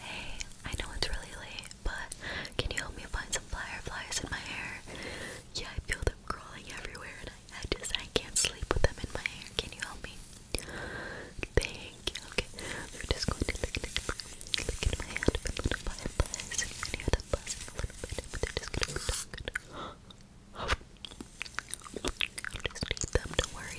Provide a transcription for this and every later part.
Hey, I know it's really late, but can you help me find some fireflies in my hair? Yeah, I feel them crawling everywhere and I, I just I can't sleep with them in my hair. Can you help me? Thank you. Okay. We're just going to look at look at my hand little fireflies. You can hear them a little bit, but they just going them, do worry.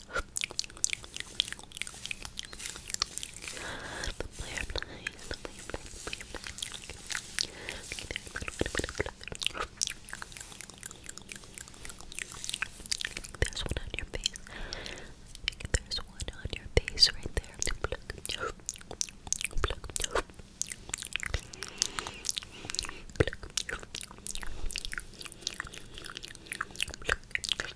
There's one on your face. I think there's one on your face right there. Pluck. Pluck. Pluck. Pluck.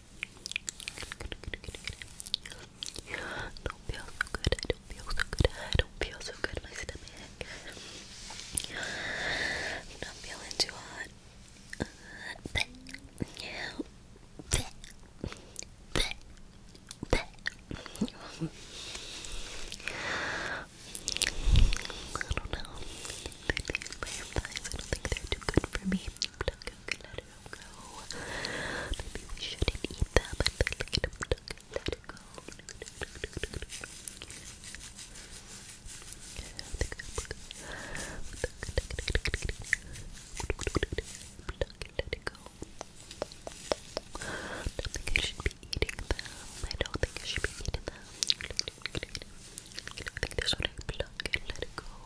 don't feel so good, I don't feel so good, I don't feel so good, my stomach. I'm not feeling too hot. I don't know. I think I don't think they're too good for me let it go. Maybe we shouldn't eat them, but then look at them, let it go. Let it go. I don't think I should be eating them. I don't think I should be eating them. I don't think they should pluck and let it go.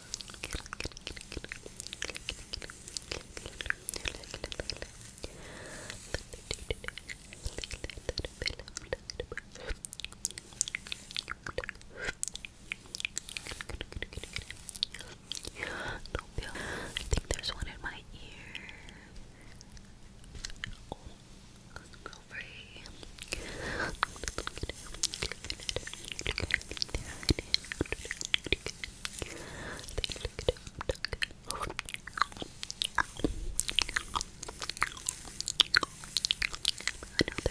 I think there's one in my ear. Oh, let's go free. I know they're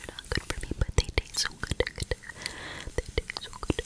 not good for me, but they taste so good. They taste so good.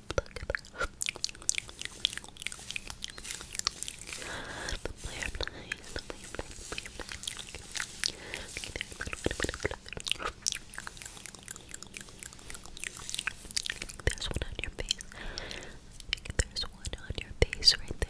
There's one on your face. There's one on your face right there.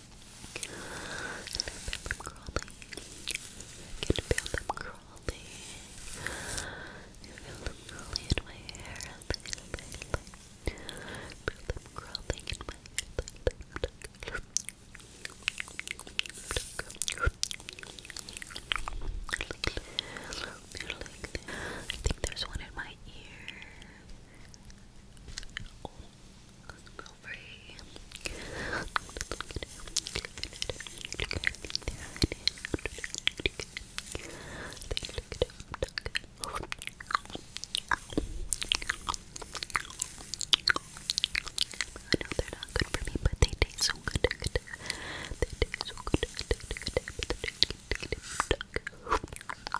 I can feel them crawling. I feel them crawling in feel them in my hair. I think there's one in my ear. Let's go free. I know they're not good for me, but they taste so good. good. They taste so good. They taste so good. They taste so good.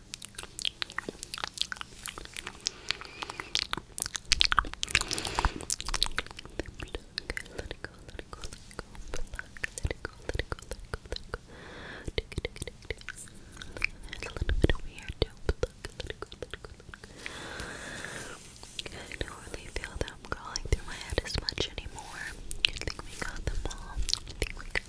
let it go, let it go, let it go, let it go, let it go, let it go, let it go. Dig it, dig it, it. It's a little bit let it go, let it go, let it go. I don't really feel them crawling through my head as much anymore. I think we got them all.